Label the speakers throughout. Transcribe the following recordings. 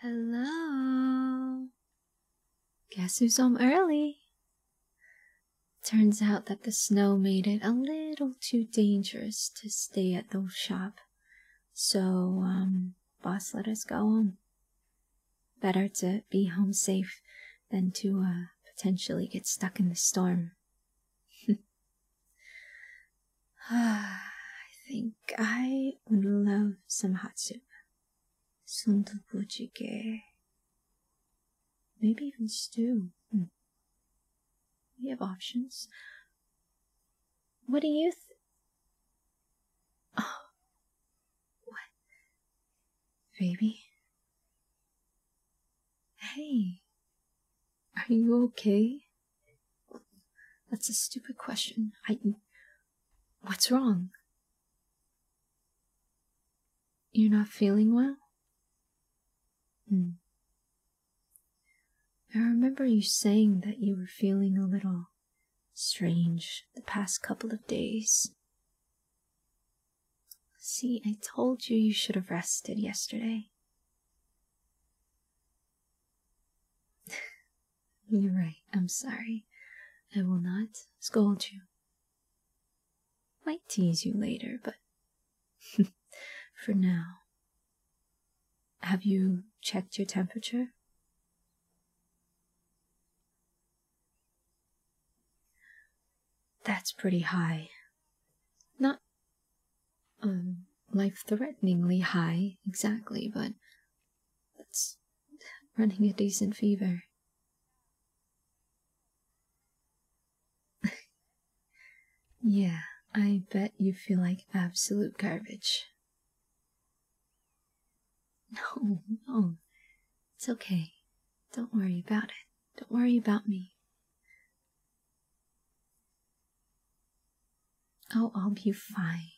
Speaker 1: Hello. Guess who's home early? Turns out that the snow made it a little too dangerous to stay at the shop, so um, boss let us go home. Better to be home safe than to uh, potentially get stuck in the storm. I think I would love some hot soup. Sundubu jjigae maybe even stew. Hmm. We have options. What do you th- Oh. What? Baby? Hey. Are you okay? That's a stupid question. I. What's wrong? You're not feeling well? Hmm. I remember you saying that you were feeling a little strange the past couple of days. See, I told you you should have rested yesterday. You're right, I'm sorry. I will not scold you. Might tease you later, but For now. Have you checked your temperature? That's pretty high. Not um, life threateningly high, exactly, but that's running a decent fever yeah, I bet you feel like absolute garbage. No, no. It's okay. Don't worry about it. Don't worry about me. Oh, I'll be fine.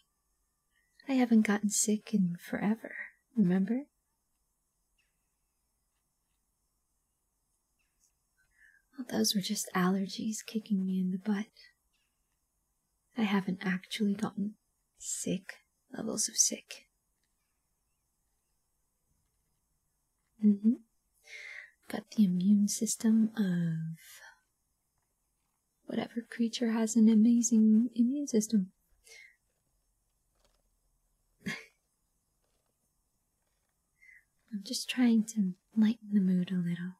Speaker 1: I haven't gotten sick in forever, remember? Oh, those were just allergies kicking me in the butt. I haven't actually gotten sick levels of sick. Mm Got the immune system of whatever creature has an amazing immune system. I'm just trying to lighten the mood a little.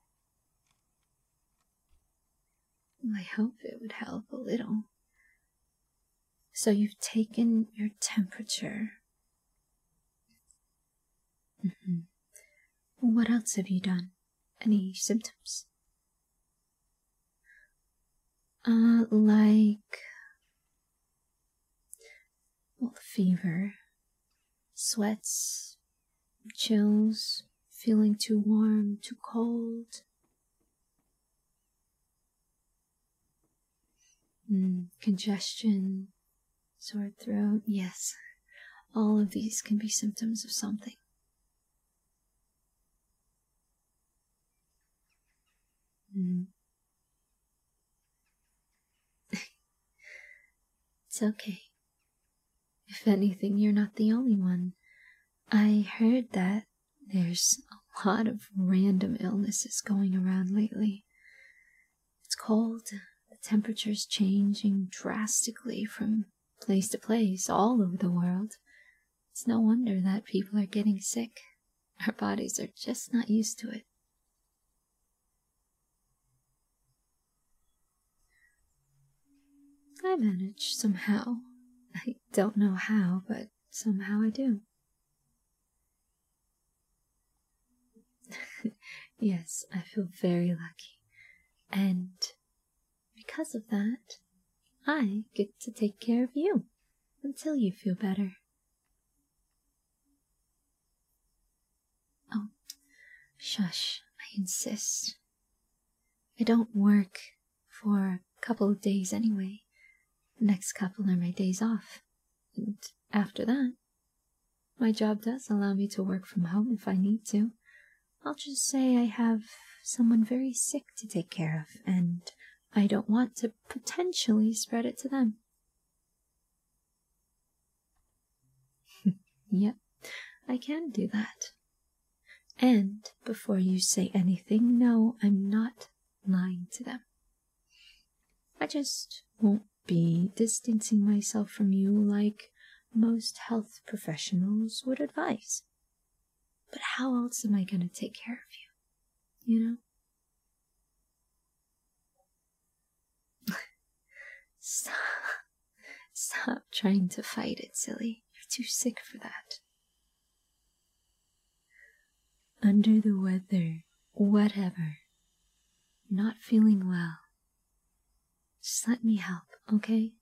Speaker 1: I hope it would help a little. So you've taken your temperature. Mm-hmm. What else have you done? Any symptoms? Uh, like well, fever, sweats, chills, feeling too warm, too cold. Mm, congestion, sore throat, yes, all of these can be symptoms of something. Mm. it's okay. If anything, you're not the only one. I heard that there's a lot of random illnesses going around lately. It's cold, the temperature's changing drastically from place to place all over the world. It's no wonder that people are getting sick. Our bodies are just not used to it. I manage somehow. I don't know how, but somehow I do. yes, I feel very lucky. And because of that, I get to take care of you until you feel better. Oh, shush, I insist. I don't work for a couple of days anyway. The next couple are my days off. And after that, my job does allow me to work from home if I need to. I'll just say I have someone very sick to take care of, and I don't want to potentially spread it to them. yep, I can do that. And before you say anything, no, I'm not lying to them. I just won't be distancing myself from you like most health professionals would advise. But how else am I going to take care of you? You know? Stop. Stop trying to fight it, silly. You're too sick for that. Under the weather, whatever. Not feeling well. Just let me help, okay?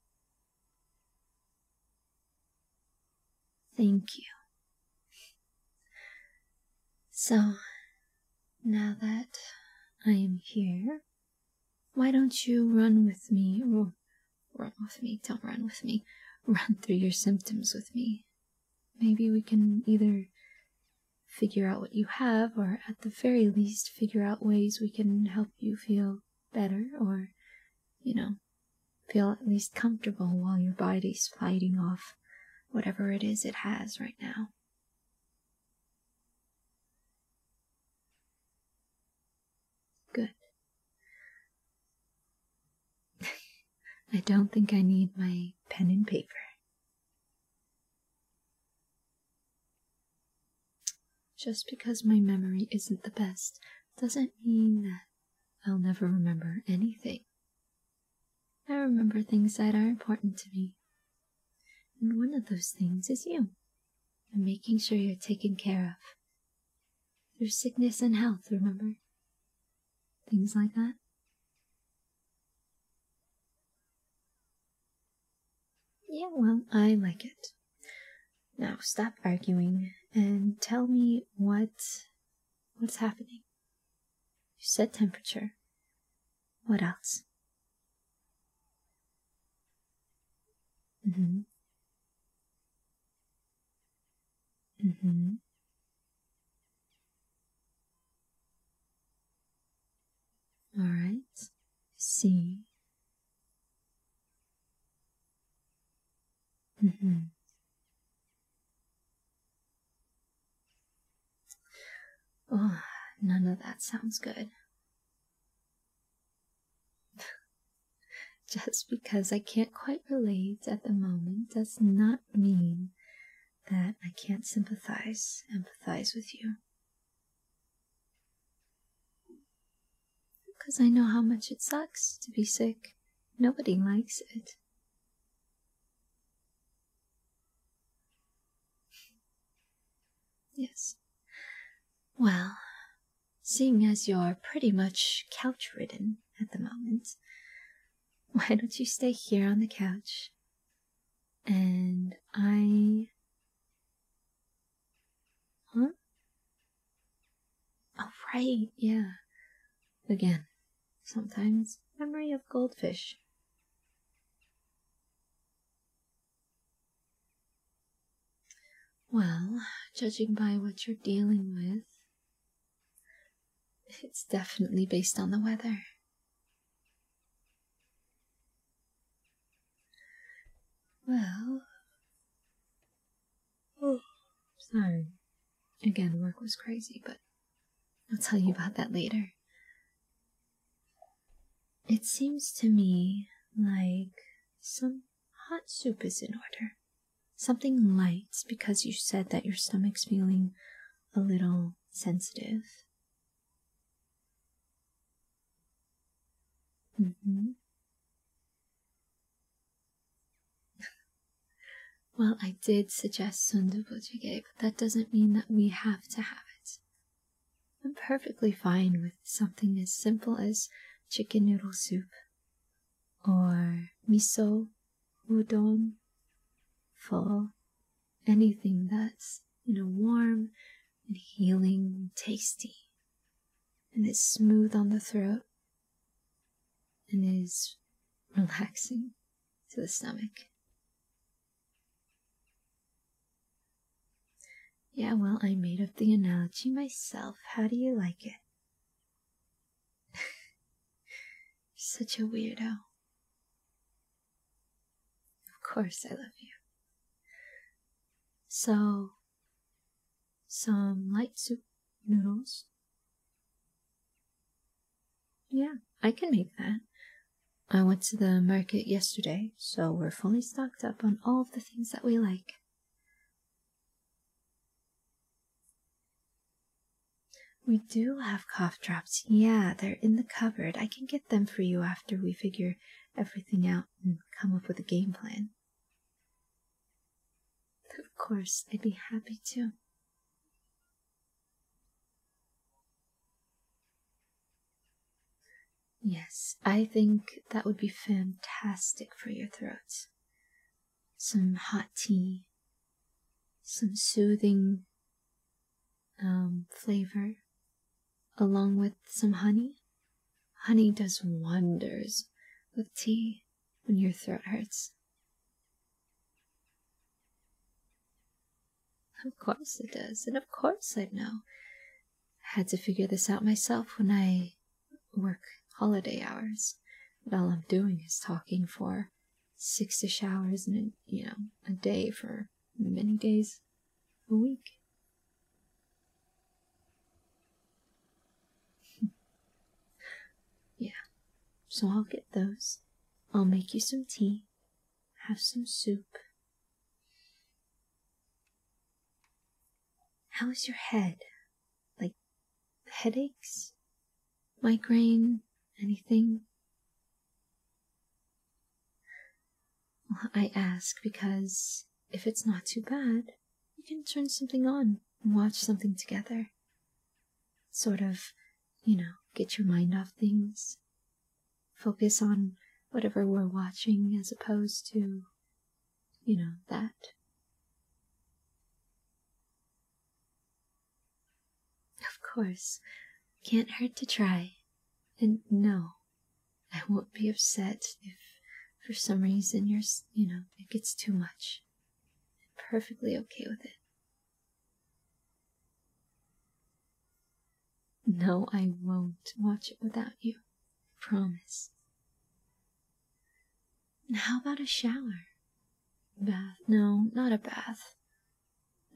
Speaker 1: Thank you. So, now that I am here, why don't you run with me, or run with me, don't run with me, run through your symptoms with me? Maybe we can either figure out what you have, or at the very least, figure out ways we can help you feel better, or, you know, feel at least comfortable while your body's fighting off whatever it is it has right now. Good. I don't think I need my pen and paper. Just because my memory isn't the best doesn't mean that I'll never remember anything. I remember things that are important to me, and one of those things is you and making sure you're taken care of. Through sickness and health, remember? Things like that. Yeah, well, I like it. Now stop arguing and tell me what what's happening. You said temperature. What else? hmm All right. See. hmm Oh, none of that sounds good. Just because I can't quite relate at the moment does not mean that I can't sympathize, empathize with you. Because I know how much it sucks to be sick. Nobody likes it. Yes. Well, seeing as you're pretty much couch ridden at the moment, why don't you stay here on the couch? And I. Huh? Oh, right, yeah. Again, sometimes memory of goldfish. Well, judging by what you're dealing with, it's definitely based on the weather. Well, oh, sorry. Again, work was crazy, but I'll tell you about that later. It seems to me like some hot soup is in order. Something light, because you said that your stomach's feeling a little sensitive. Mm-hmm. well, I did suggest sundubu jjigae, but that doesn't mean that we have to have it. I'm perfectly fine with something as simple as chicken noodle soup or miso, udon, pho, anything that's, you know, warm and healing and tasty and is smooth on the throat and is relaxing to the stomach. Yeah, well, I made up the analogy myself. How do you like it? Such a weirdo. Of course, I love you. So, some light soup noodles. Yeah, I can make that. I went to the market yesterday, so we're fully stocked up on all of the things that we like. We do have cough drops. Yeah, they're in the cupboard. I can get them for you after we figure everything out and come up with a game plan. Of course, I'd be happy to. Yes, I think that would be fantastic for your throat. Some hot tea, some soothing um, flavor, along with some honey. Honey does wonders with tea when your throat hurts. Of course it does, and of course I know. I had to figure this out myself when I work holiday hours, and all I'm doing is talking for six ish hours and you know, a day for many days a week. yeah, so I'll get those. I'll make you some tea, have some soup, How's your head? Like headaches? Migraine? Anything? I ask because if it's not too bad, we can turn something on and watch something together. Sort of, you know, get your mind off things, focus on whatever we're watching as opposed to, you know, that. Of course, can't hurt to try. And no, I won't be upset if for some reason you're, you know, it gets too much. I'm perfectly okay with it. No, I won't watch it without you. Promise. How about a shower? Bath? No, not a bath.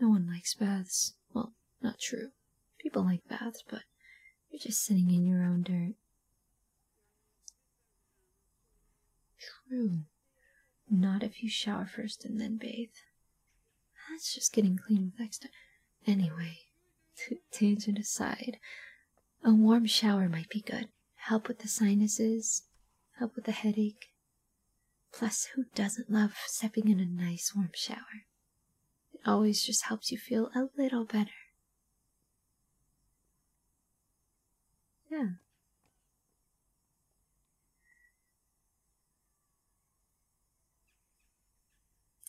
Speaker 1: No one likes baths. Well, not true. People like baths, but you're just sitting in your own dirt. True. Not if you shower first and then bathe. That's just getting clean with extra. Anyway, tangent aside, a warm shower might be good. Help with the sinuses, help with the headache. Plus, who doesn't love stepping in a nice warm shower? It always just helps you feel a little better. Yeah.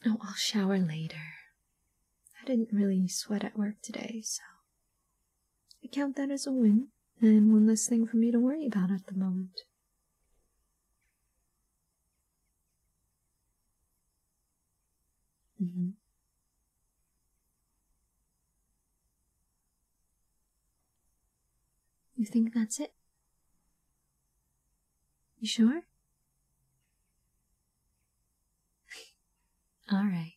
Speaker 1: Oh, I'll shower later. I didn't really sweat at work today, so I count that as a win and one less thing for me to worry about at the moment. Mm-hmm. You think that's it? You sure? All right.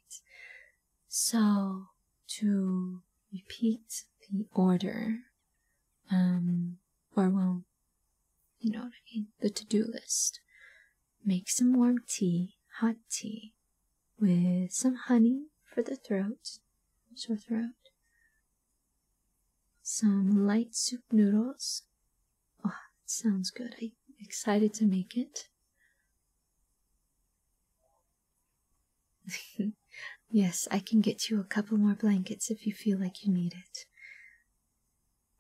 Speaker 1: So, to repeat the order, um, or well, you know what I mean, the to do list. Make some warm tea, hot tea, with some honey for the throat, sore throat, some light soup noodles. Oh, that sounds good. I'm excited to make it. yes, I can get you a couple more blankets if you feel like you need it.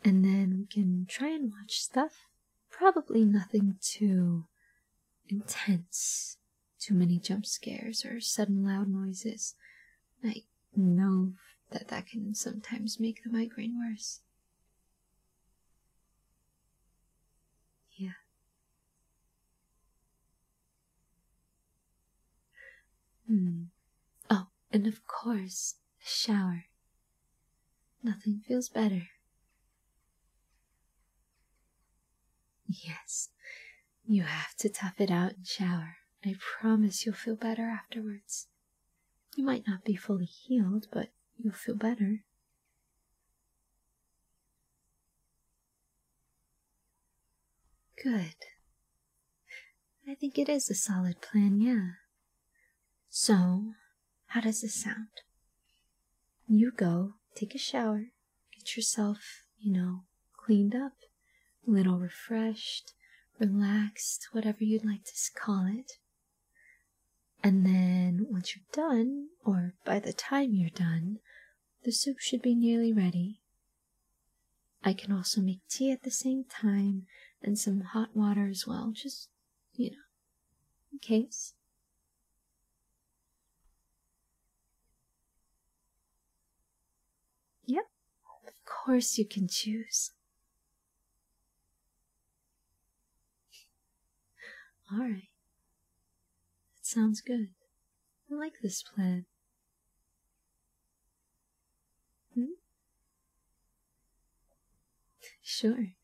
Speaker 1: And then we can try and watch stuff. Probably nothing too intense. Too many jump scares or sudden loud noises. I know that that can sometimes make the migraine worse. Yeah. Hmm. Oh, and of course, a shower. Nothing feels better. Yes, you have to tough it out and shower. I promise you'll feel better afterwards. You might not be fully healed, but you'll feel better. Good. I think it is a solid plan, yeah. So, how does this sound? You go, take a shower, get yourself, you know, cleaned up, little refreshed, relaxed, whatever you'd like to call it. And then once you're done, or by the time you're done, the soup should be nearly ready. I can also make tea at the same time and some hot water as well, just, you know, in case. Yep, of course, you can choose. All right. That sounds good. I like this plan. Hmm? Sure.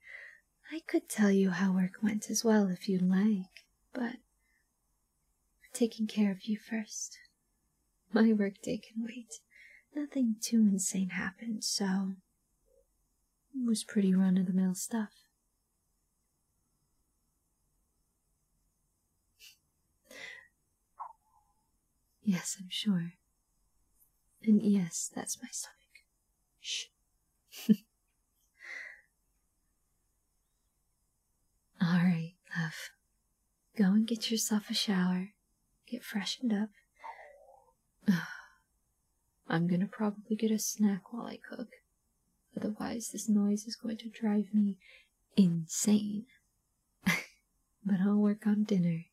Speaker 1: I could tell you how work went as well if you like, but taking care of you first. My workday can wait. Nothing too insane happened, so it was pretty run of the mill stuff. Yes, I'm sure. And yes, that's my stomach. Shh. All right, love. Go and get yourself a shower. Get freshened up. I'm gonna probably get a snack while I cook. Otherwise, this noise is going to drive me insane. but I'll work on dinner.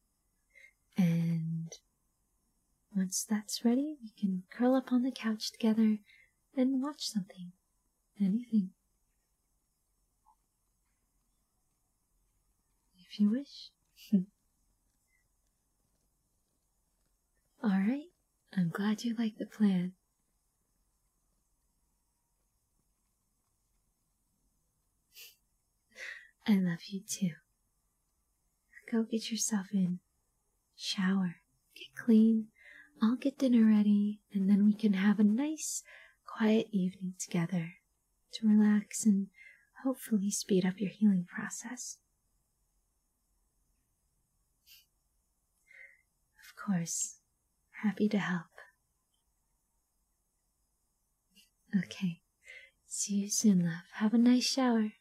Speaker 1: And once that's ready, we can curl up on the couch together and watch something. Anything. If you wish. All right, I'm glad you like the plan. I love you too. Go get yourself in. Shower. Get clean. I'll get dinner ready, and then we can have a nice, quiet evening together to relax and hopefully speed up your healing process. Of course, happy to help. Okay, see you soon, love. Have a nice shower.